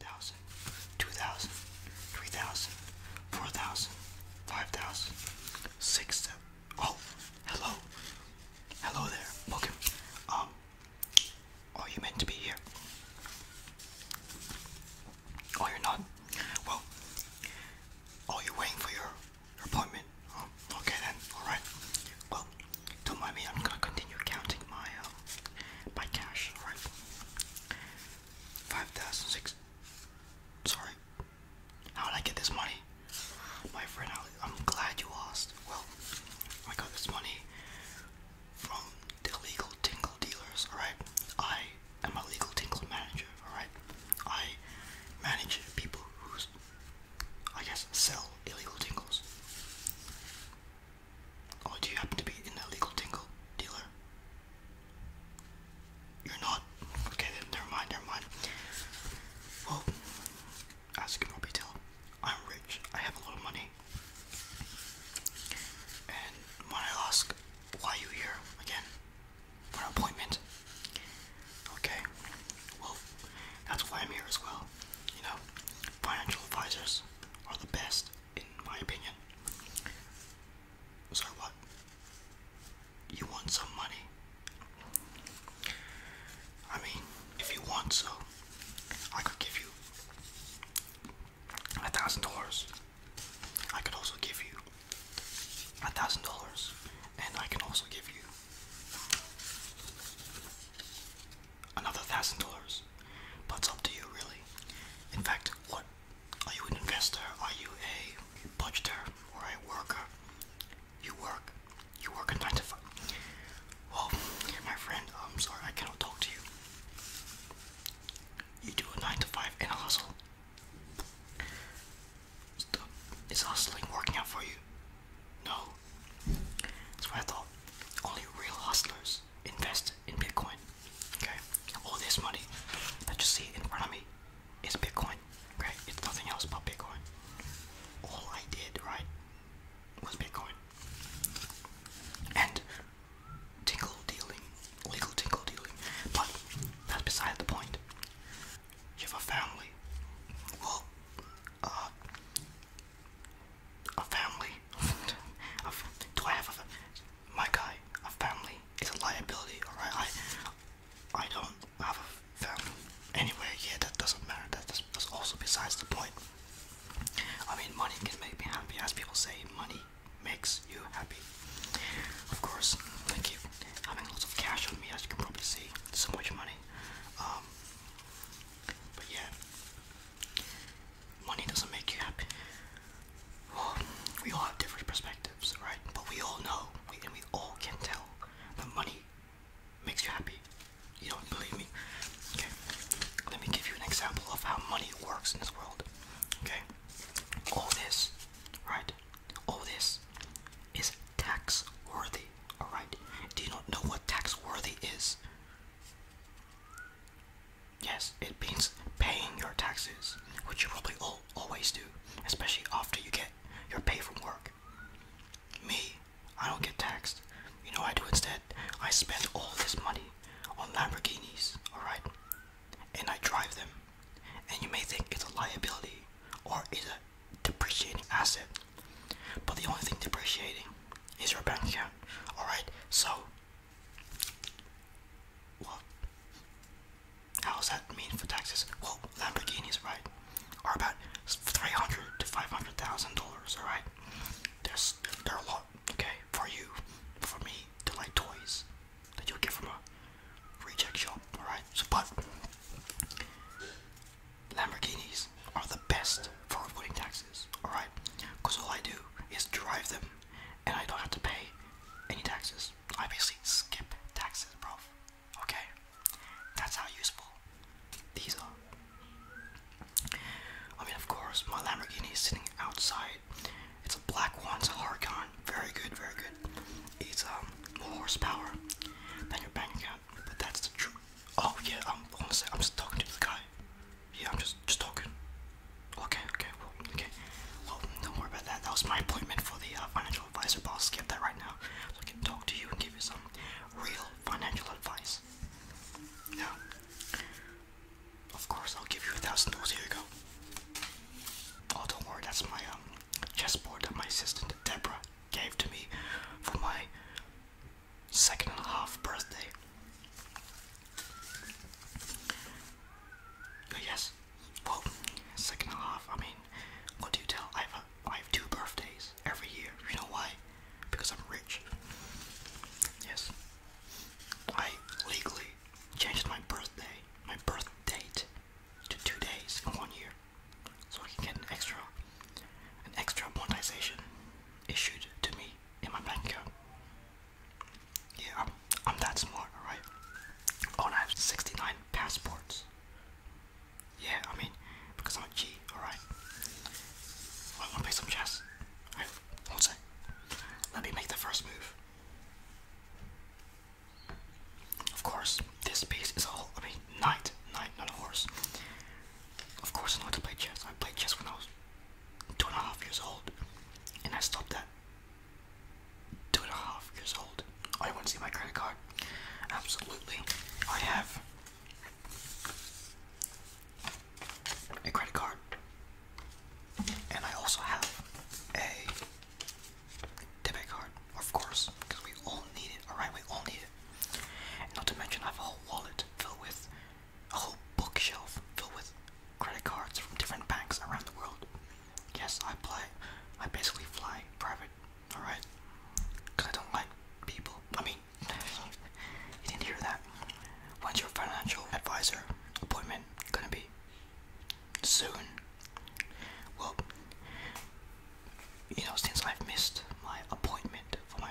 1,000, 2,000, 3,000, 4,000, 5,000, 6,000. Oh, hello. Hello there. Welcome. Um, are oh, you meant to be here? Oh, you're not? Well, are oh, you waiting for your, your appointment. Oh, okay then. Alright. Well, don't mind me. I'm gonna continue counting my, uh, my cash. Right. Five thousand six. Sorry. How did I get this money? My friend, I'm glad you lost. Well, I got this money from illegal tingle dealers, alright? I am a legal tingle manager, alright? I manage people who, I guess, sell illegal tingles. Or oh, do you happen to be an illegal tingle dealer? You're not? Okay, never mind, never mind. Well, as you can probably tell, I'm rich. I have a lot of money. And when I ask why are you here again for an appointment, okay, well, that's why I'm here as well. You know, financial advisors are the best in my opinion. So what? You want some money? I mean, if you want so, I could give you a thousand dollars. I could also give you a thousand dollars, and I can also give you another thousand dollars. But it's up to you, really. In fact, what are you an investor? Are you a budgeter or a worker? You work. You work in nine to five. Well, my friend, I'm sorry, I cannot talk to you. You do a nine to five and a hustle. Stop. Is hustling working out for you? No. That's what I thought. Only real hustlers Invest in Bitcoin. Okay, all this money that you see in front of me is Bitcoin. Okay, it's nothing else but Bitcoin. All I did, right, was Bitcoin. And tingle dealing, legal tingle dealing. But that's beside the point. You have a family. Well, uh, a family, do I have a, my guy, a family is a liability, alright, I, I don't have a family, anyway, yeah, that doesn't matter, that, that's, that's also besides the point, I mean, money can make me happy, as people say, money makes you happy, of course, thank you, having lots of cash on me, as you can probably see, so much money, um, but yeah, Money doesn't make you happy. we all have different perspectives, right? But we all know, we, and we all can tell that money makes you happy. You don't believe me? Okay. Let me give you an example of how money works in this world. Okay. All this, right? All this is tax worthy. Alright? Do you not know what tax worthy is? Yes, it means paying your taxes, which you probably all, always do, especially after you get your pay from work. Me, I don't get taxed. You know I do instead? I spend all this money on Lamborghinis, alright? And I drive them. And you may think it's a liability or is a depreciating asset. But the only thing depreciating is your bank account, alright? So well, how's that mean for taxes? Well, Lamborghinis, right, are about three hundred to five hundred thousand dollars. All right, there's there are a lot. Okay, for you, for me, to are like toys that you'll get from a reject shop. All right, so but Lamborghinis are the best for avoiding taxes. All right, because all I do is drive them, and I don't have to pay any taxes. I basically skip taxes, bro. Okay, that's how useful these are. I mean, of course, my Lamborghini is sitting outside. It's a black one, it's a Harcon. Very good, very good. It's um more horsepower than your bank account, but that's the truth. Oh yeah, I'm I'm just talking to the guy. Yeah, I'm just just talking. Okay, okay, well, okay. Well, don't worry about that. That was my appointment for the uh, financial advisor, but I'll skip that right now so I can talk to you and give you some real financial advice. Now, of course, I'll give you a thousand dollars. Here you go. Oh, don't worry, that's my um chessboard that my assistant Deborah gave to me for my second half birthday. Oh, yes, well, second half. I mean, what do you tell? I have a, I have two birthdays every year. You know why? Because I'm rich. Yes, I legally changed my birthday, my birth date, to two days in one year, so I can get an extra, an extra monetization issued to me in my bank account. Yeah, I'm, I'm that smart, alright? Oh, and I have 69 passports. Yeah, I mean, because I'm a G, alright? I wanna play some chess. Alright, one Let me make the first move. Of course, this piece is all, I mean, knight, knight, not a horse. Of course I know how to play chess. I play chess when I was two and a half years old, and I stopped that. two and a half years old. Oh, you want to see my credit card? Absolutely. I have a credit card, and I also have a debit card, of course, because we all need it. All right, we all need it. Not to mention, I have a whole wallet to fill with a whole bookshelf filled with credit cards from different banks around the world. Yes, I fly. I basically fly private. All right, because I don't like people. I mean, you didn't hear that. When's your financial advisor appointment gonna be? Soon. Well, you know, since I've missed my appointment for my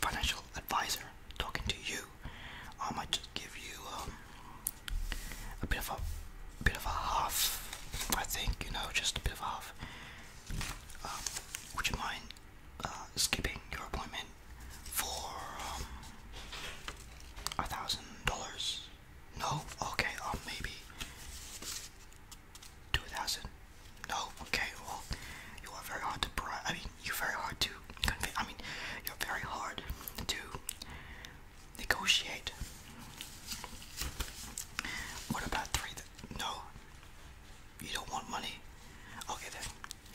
financial advisor, talking to you I might just give you um, a bit of a, a bit of a half. I think you know, just a bit of a half. Um, would you mind uh, skipping your appointment for um, a thousand dollars? No. Okay. Um, maybe two thousand. No. Okay. Well, you are very hard to bribe you're very hard to convince. I mean, you're very hard to negotiate. What about three? no, you don't want money. Okay then,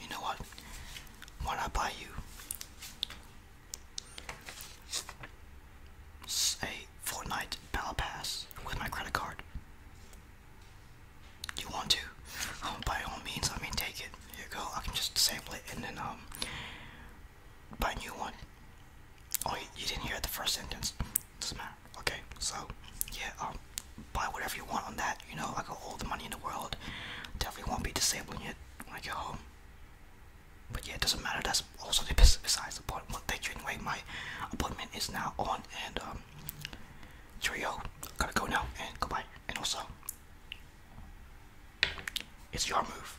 you know what? Why not buy you a Fortnite battle pass with my credit card? you want to, um, by all means, I mean, take it. Here you go. I can just disable it and then um, buy a new one. Oh, you, didn't hear the first sentence. Doesn't matter. Okay, so yeah, um, buy whatever you want on that. You know, I got all the money in the world. Definitely won't be disabling it when I get home. But yeah, it doesn't matter. That's also the besides the point. Well, thank you anyway. My appointment is now on, and um, cheerio. Oh. Gotta go now, and goodbye. And also, it's your move.